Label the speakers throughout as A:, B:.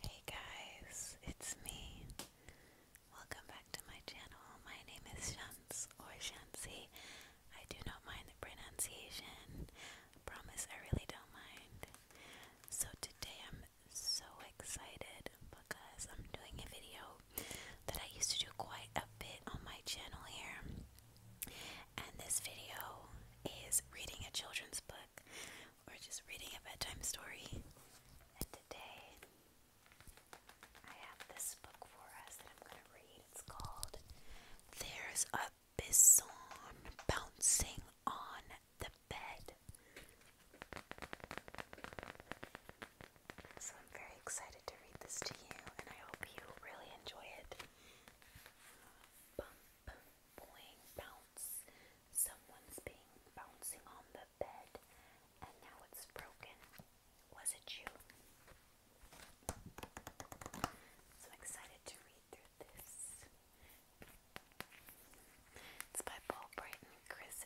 A: Hey guys, it's me. Welcome back to my channel. My name is Shans or Shansi. I do not mind the pronunciation. promise I really don't mind. So today I'm so excited because I'm doing a video that I used to do quite a bit on my channel here. And this video is reading a children's book or just reading a bedtime story. And today I have this book for us that I'm going to read. It's called There's a Bison Bouncing on the Bed so I'm very excited to read this to you, and I hope you really enjoy it. Bump, boing, bounce. Someone's bouncing on the bed, and now it's broken. Was it you? So excited to read through this. It's by Paul Bright and Chris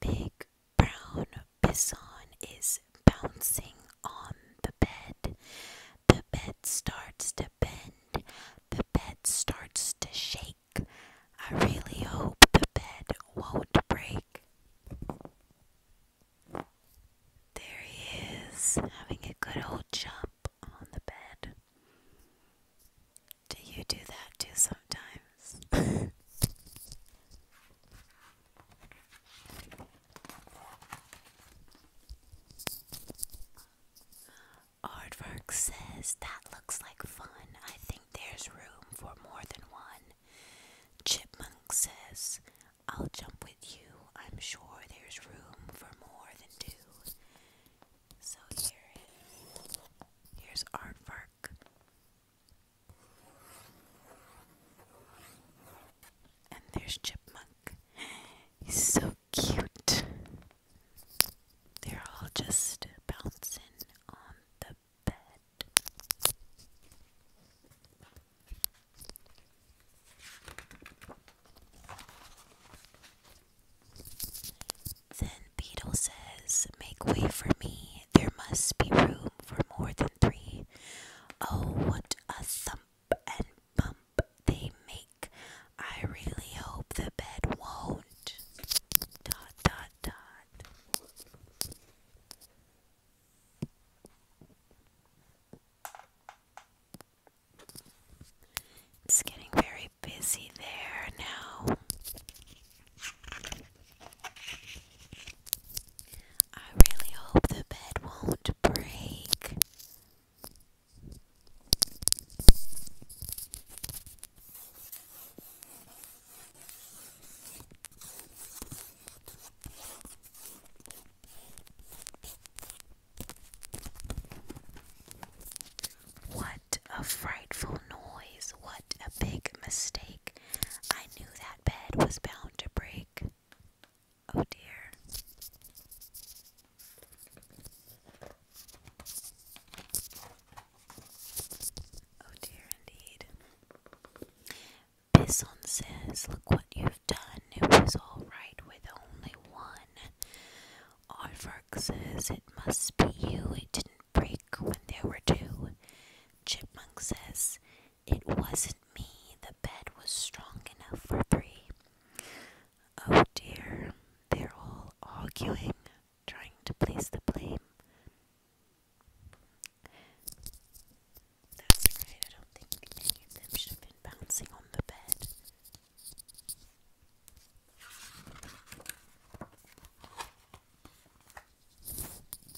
A: Big brown bison is bouncing on the bed. The bed starts to bend. The bed starts to shake. I really hope the bed won't break. There he is, having a good old jump on the bed. Do you do that too sometimes? Aardvark says that looks like fun. I think there's room for more than one. Chipmunk says, I'll jump with you. I'm sure there's room for more than two. So here is. Here's Aardvark. And there's Chipmunk. He's so cute. They're all just bouncing on the to Then Beetle says, Make way for me, there must be room for more than three." Oh, what a thump and bump they make. I really hope the bed won't. Dot, dot, dot. It's getting very busy there now. I really hope the bed won't break. What a frightful noise! What a big mistake! I knew that bed was bound to break. Oh dear. Oh dear indeed. Bison says, Look what you've done. It was all right with only one. Aardvark says, It must be you. It didn't break when there were two. Chipmunk says, It wasn't me. The bed was strong enough for three. Oh dear, they're all arguing, trying to place the blame. That's right, I don't think any of them should have been bouncing on the bed.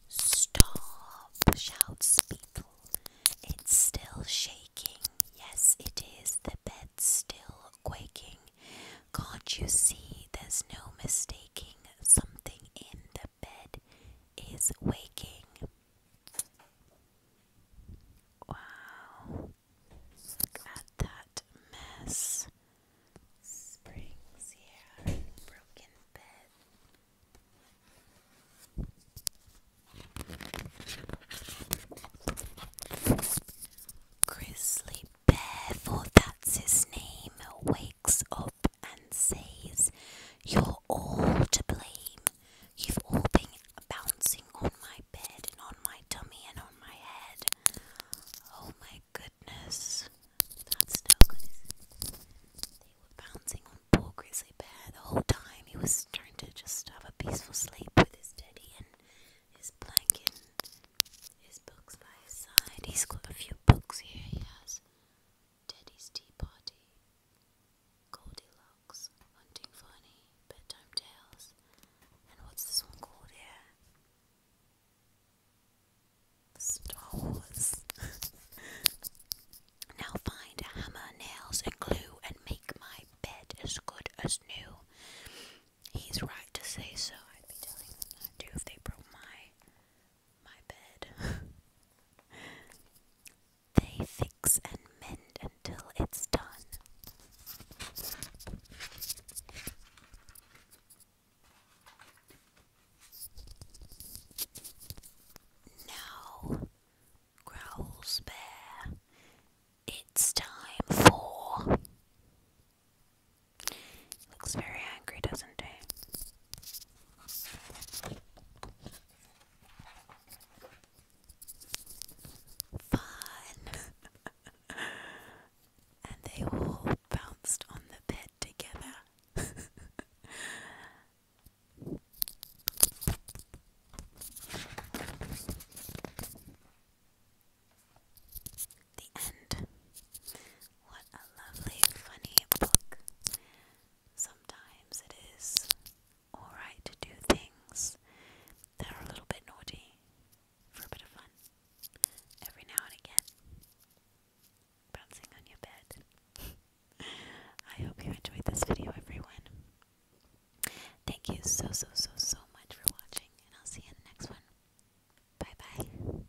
A: Stop, shouts Beetle. It's still shaking. Yes, it is. The bed's still quaking. Can't you see there's no mistaking something in the bed is waking. Wow. Look at that mess. Springs here, broken bed. Grizzly Bear, for that's his name, wakes up and says, You're all to blame. You've all been bouncing on my bed and on my tummy and on my head. Oh my goodness. That's no good. They were bouncing on poor Grizzly Bear the whole time. He was trying to just have a peaceful sleep with his teddy and his blanket and his books by his side. He's got a few books here, he has. Teddy's Tea Party, Goldilocks, Hunting Funny, Bedtime Tales, and what's this one called here? Star Wars. now find a hammer, nails, and glue, and make my bed as good as new. He's right to say so. I'd be telling them that too if they broke my my bed. they fix and mend until it's done. Now, growls Bear, it's time for Looks very angry, doesn't it? Fun! and they all bounced on the bed together. The end. What a lovely, funny book. Sometimes it is alright to do things that are a little bit naughty for a bit of fun every now and again. Bouncing on your bed. I hope you enjoyed this video, everyone. Thank you so, so, so, so much for watching, and I'll see you in the next one. Bye bye.